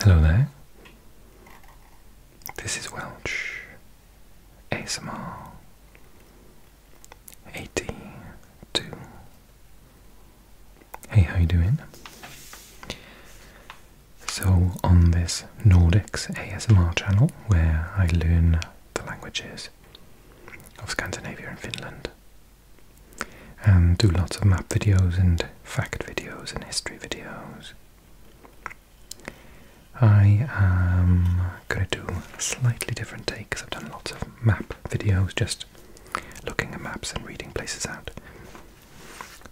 Hello there. This is Welch ASMR 82. Hey, how you doing? So on this Nordics ASMR channel where I learn the languages of Scandinavia and Finland and do lots of map videos and fact videos and history videos. I am going to do a slightly different take because I've done lots of map videos, just looking at maps and reading places out.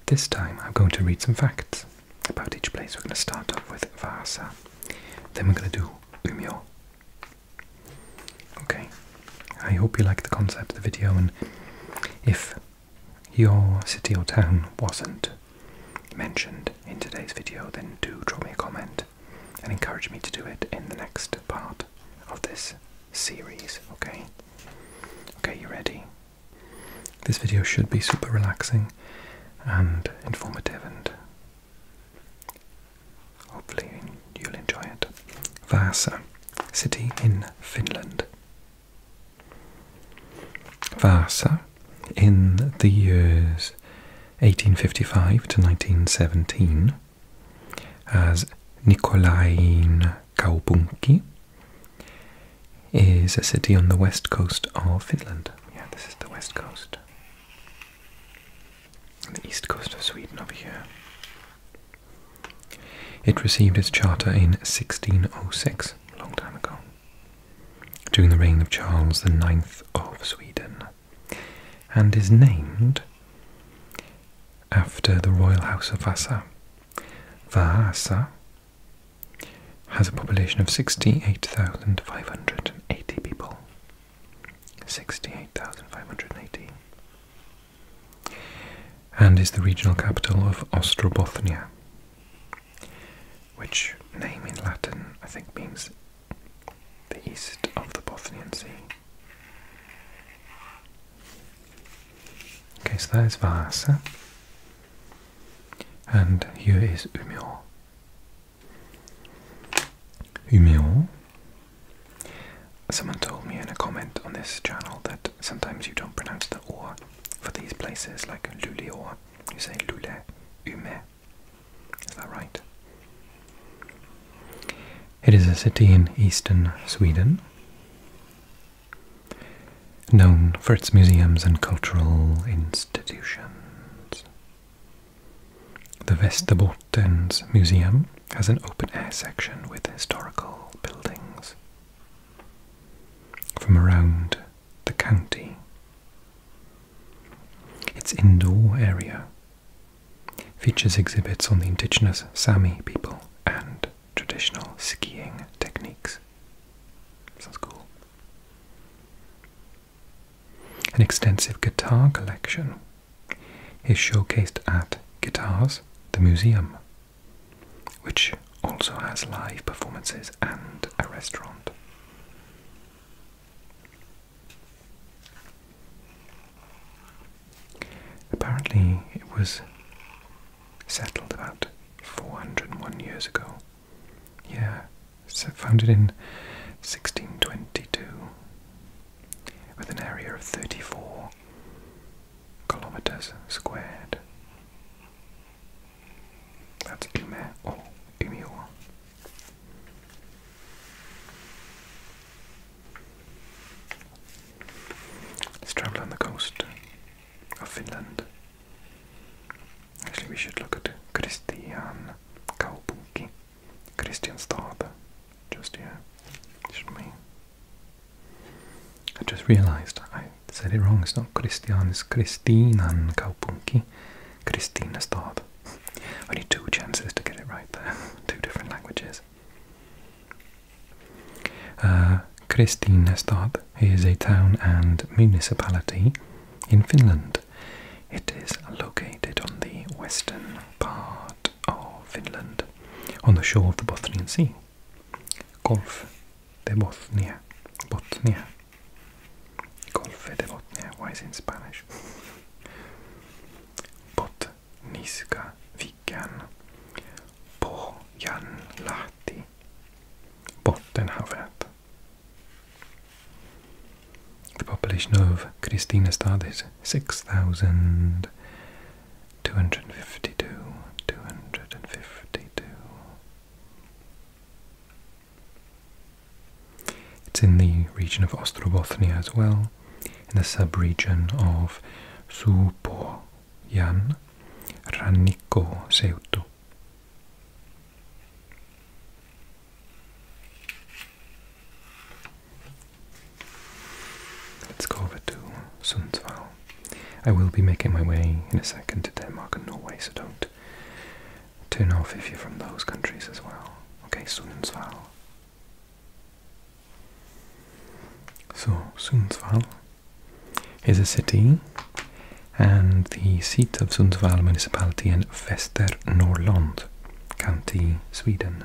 This time I'm going to read some facts about each place. We're going to start off with Vasa, then we're going to do Umeå, Okay, I hope you like the concept of the video, and if your city or town wasn't mentioned in today's video, then do drop me a comment and encourage me to do it in the next part of this series, okay? Okay, you ready? This video should be super relaxing and informative and Hopefully, you'll enjoy it. Vaasa, city in Finland. Vaasa, in the years 1855 to 1917, as Nikolain Kaupunki, is a city on the west coast of Finland. Yeah, this is the west coast. The east coast of Sweden over here. It received its charter in 1606, a long time ago, during the reign of Charles IX of Sweden, and is named after the royal house of Vasa. Vasa has a population of 68,580 people. 68,580 and is the regional capital of Ostrobothnia, which name in Latin I think means the east of the Bothnian Sea. Okay, so that is Vasa, and here is Umeå. Umeå Someone told me in a comment on this channel that sometimes you don't pronounce the or for these places like Luleå. You say Lule, Ume. Is that right? It is a city in eastern Sweden, known for its museums and cultural institutions. The Västerbottens Museum has an open air section with historical buildings from around the county. Its indoor area features exhibits on the indigenous Sami people and traditional skiing techniques. Sounds cool. An extensive guitar collection is showcased at Guitars, the museum, which also has live performances and a restaurant. Apparently, it was settled about 401 years ago. Yeah, founded in 1622 with an area of 34 kilometers squared. That's Ume or Umeå. Let's travel on the coast of Finland. Actually, we should look at Kristian Kaupunki. Christian Stade. Just yeah, just me. I just realized I said it wrong. It's not Christian, it's Kristinan Kaupunki. Christina Stad. Only two chances to get it right there. two different languages. Uh, Kristinestad is a town and municipality in Finland. It is located on the western part of Finland on the shore of the Bothnian Sea. Golf de Bothnia. Bothnia. Golf de Bothnia. Why is it in Spanish? Botniska viken. Pohjanlahti. Bottenhavet. The population of Kristinestad is six thousand two hundred and fifty two, two hundred and fifty two. It's in the region of Ostrobothnia as well, in the subregion of Supojan, Raniko Let's go over to Sundsvall. I will be making my way in a second to Denmark and Norway, so don't turn off if you're from those countries as well. Okay, Sundsvall. So, Sundsvall is a city and the seat of Sundsvall municipality in Västernorrland, County Sweden.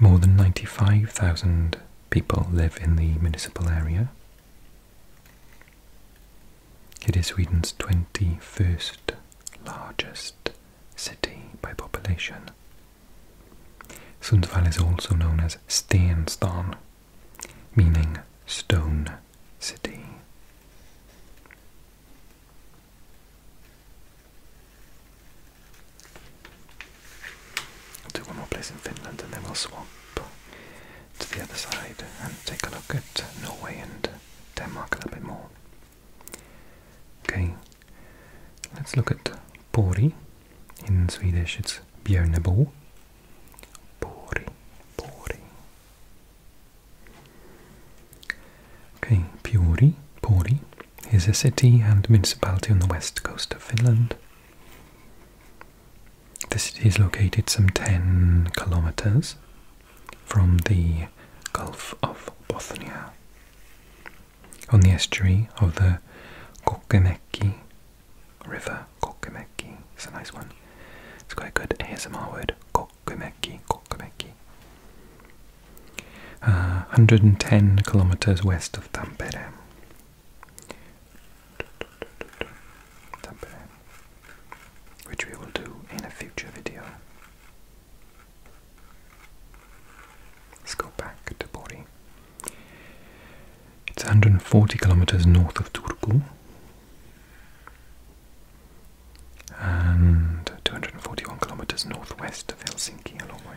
More than 95,000 people live in the municipal area. It is Sweden's 21st largest city by population. Sundsvall is also known as Stenstan, meaning stone city. I'll do one more place in Finland and then we'll swap to the other side and take a look at Norway and Denmark a little bit more. Okay, let's look at Pori. In Swedish it's Björnebo. Pori, Pori. Okay, Pori, Pori is a city and municipality on the west coast of Finland. The city is located some 10 kilometers from the Gulf of Bothnia on the estuary of the Kokemäki River. Kokemäki is a nice one. It's quite a good ASMR word. Kokemeki, Kokemeki. 110 uh, kilometers west of Tampere which we will do in a future video. Let's go back to Bori. It's 140 kilometers north of Turku and 241 kilometers northwest of Helsinki, a long way.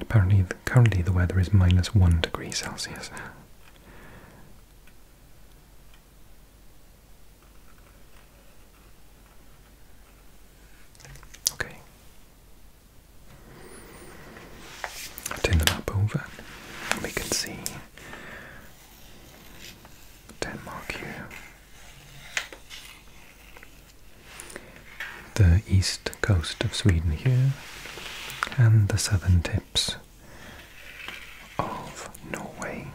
apparently, currently the weather is minus one degree Celsius. Okay. turn the map over. We can see Denmark here the east coast of Sweden here, and the southern tips of Norway.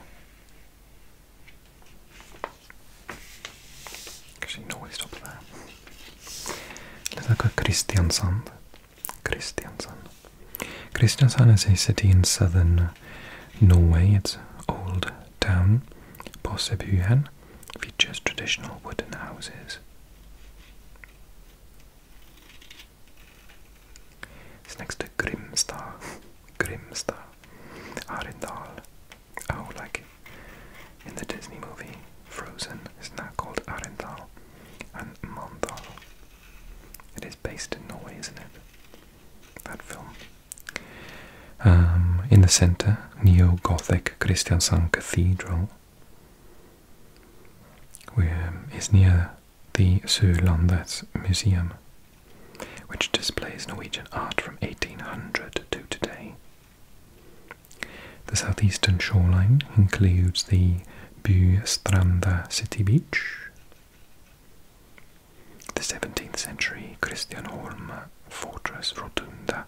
Actually, Norway stops there. Let's look at Kristiansand. Kristiansand. Kristiansand is a city in southern Norway. It's old town, Possebyhen features traditional wooden houses. It's next to Grimstad. Grimstad. Arendal. Oh, like in the Disney movie Frozen, it's now called Arendal and Mandal. It is based in Norway, isn't it? That film. Um, in the center, Neo Gothic Kristiansand Cathedral um, is near the Sørlandets Museum, which displays Norwegian art from 1800 to today. The southeastern shoreline includes the Bustranda city beach, the 17th century Christian Holm fortress Rotunda,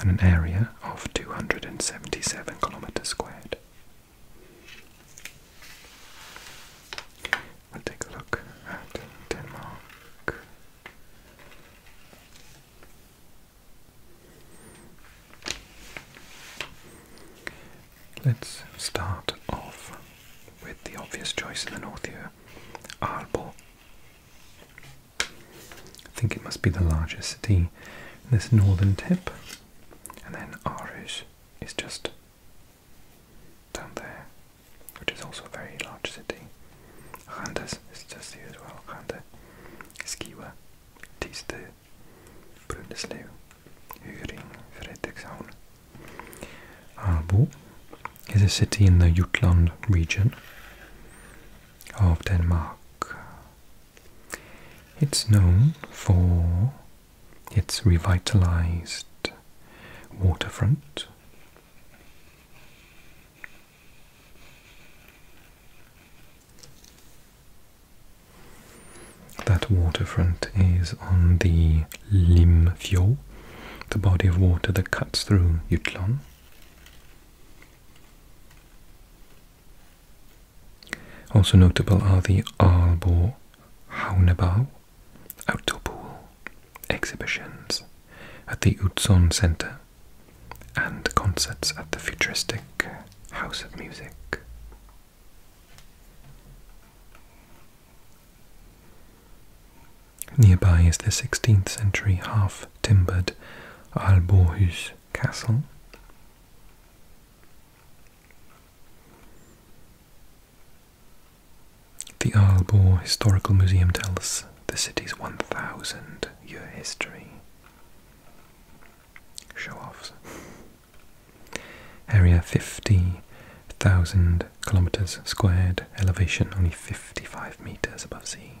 and an area of 277 kilometers squared. we take a look at Denmark. Let's start off with the obvious choice in the north here, Arbo. I think it must be the largest city in this northern tip. And then Aarhus is just down there, which is also a very large city. Randers is just here as well. Rande, Skiwa, Tiste, Brundesleeuw, Uring, Frederikshavn. Aalborg is a city in the Jutland region of Denmark. It's known for its revitalized waterfront. That waterfront is on the Limfjord, the body of water that cuts through Jutland. Also notable are the Aalborg Hauenbau outdoor pool exhibitions at the Utzon Centre and concerts at the futuristic House of Music. Nearby is the 16th century Haf timbered Aalborghus castle. The Aalborg Historical Museum tells the city's 1,000-year history. show Area 50,000 kilometers squared, elevation only 55 meters above sea.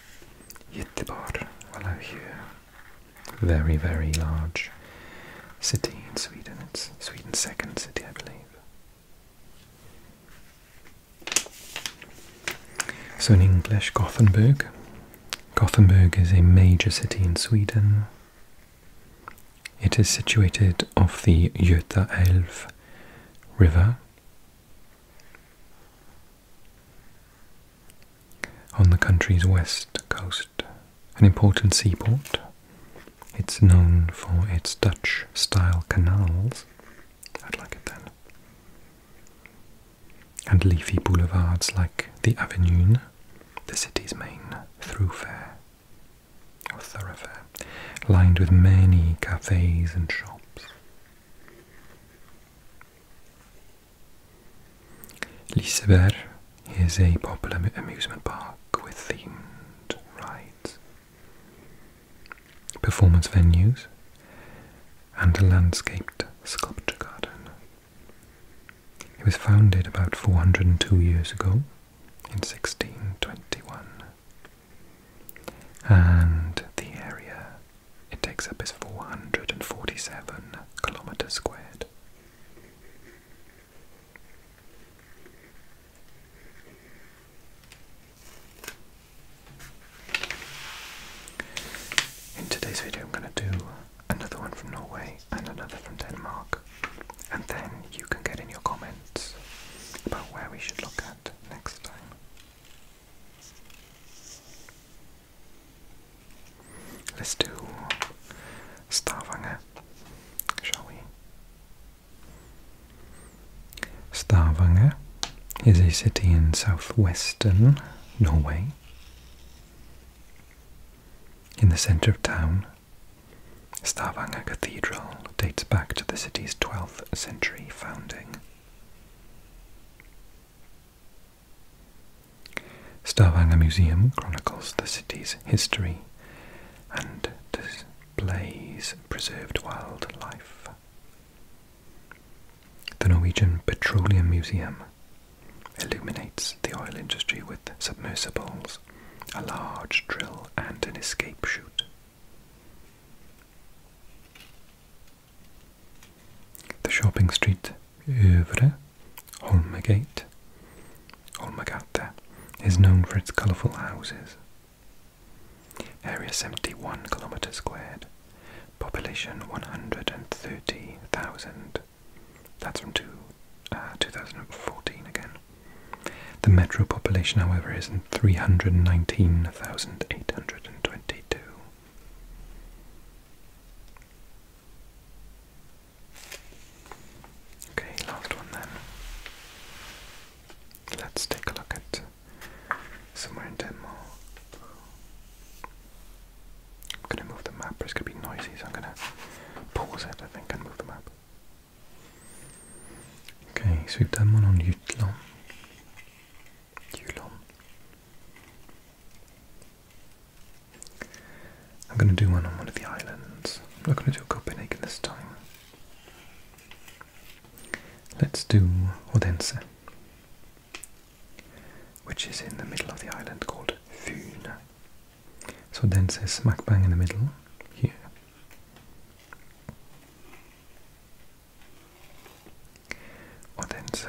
Göteborg, hello here. Very, very large city in Sweden. It's Sweden's second city, I believe. So in English, Gothenburg. Gothenburg is a major city in Sweden. It is situated off the Göta Elv river. On the country's west coast, an important seaport, it's known for its Dutch style canals, I'd like it then, and leafy boulevards like the Avenue, the city's main thoroughfare thoroughfare, lined with many cafes and shops. Liseberg is a popular amusement park with themed rides, performance venues, and a landscaped sculpture garden. It was founded about 402 years ago in 1621, and the area it takes up is 447 kilometers squared. In today's video, I'm going to do another one from Norway and another from Denmark, and then you can get in your comments about where we should look at next time. Let's do Stavanger, shall we? Stavanger is a city in southwestern Norway. In the center of town, Stavanger Cathedral dates back to the city's 12th century founding. Stavanger Museum chronicles the city's history and displays preserved wildlife. The Norwegian Petroleum Museum illuminates the oil industry with submersibles, a large drill, and an escape chute. The shopping street Övre Holmagate, Holmagata, is known for its colourful houses. Area 71 kilometres squared. Population 130,000. That's from two, uh, 2014 again. The metro population, however, is 319,822. Okay, last one then. Let's take a look at somewhere in Denmark. I'm gonna move the map, it's gonna be noisy, so I'm gonna pause it, I think, and move the map. Okay, so we've done one on Jutland. Yulon. I'm going to do one on one of the islands. I'm not going to do Copenhagen this time. Let's do Odense, which is in the middle of the island called Fyn. So Odense is smack bang in the middle, here. Odense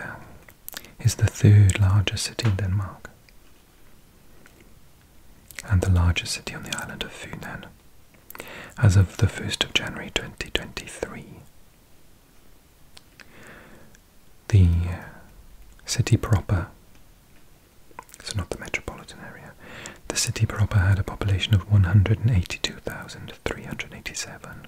is the third largest city in Denmark and the largest city on the island of Funen as of the 1st of January 2023. The uh, city proper, so not the metropolitan area, the city proper had a population of 182,387.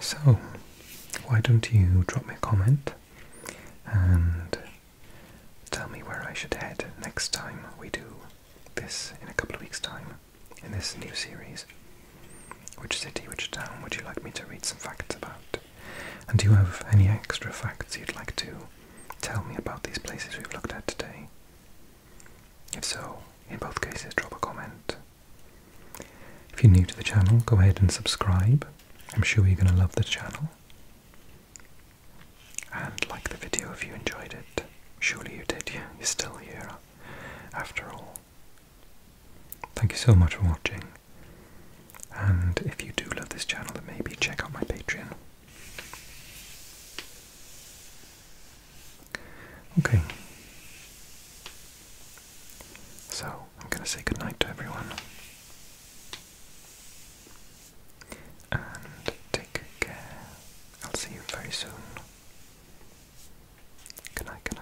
So, why don't you drop me a comment and tell me where I should head next time we do this in a couple of weeks' time in this new series? Which city, which town would you like me to read some facts about? And do you have any extra facts you'd like to Tell me about these places we've looked at today. If so, in both cases, drop a comment. If you're new to the channel, go ahead and subscribe. I'm sure you're going to love the channel. And like the video if you enjoyed it. Surely you did, yeah, you're still here after all. Thank you so much for watching. And if you do love this channel, then maybe check out my Patreon. Okay. So, I'm going to say goodnight to everyone. And take care. I'll see you very soon. Good night, good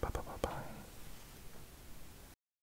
Bye bye bye bye.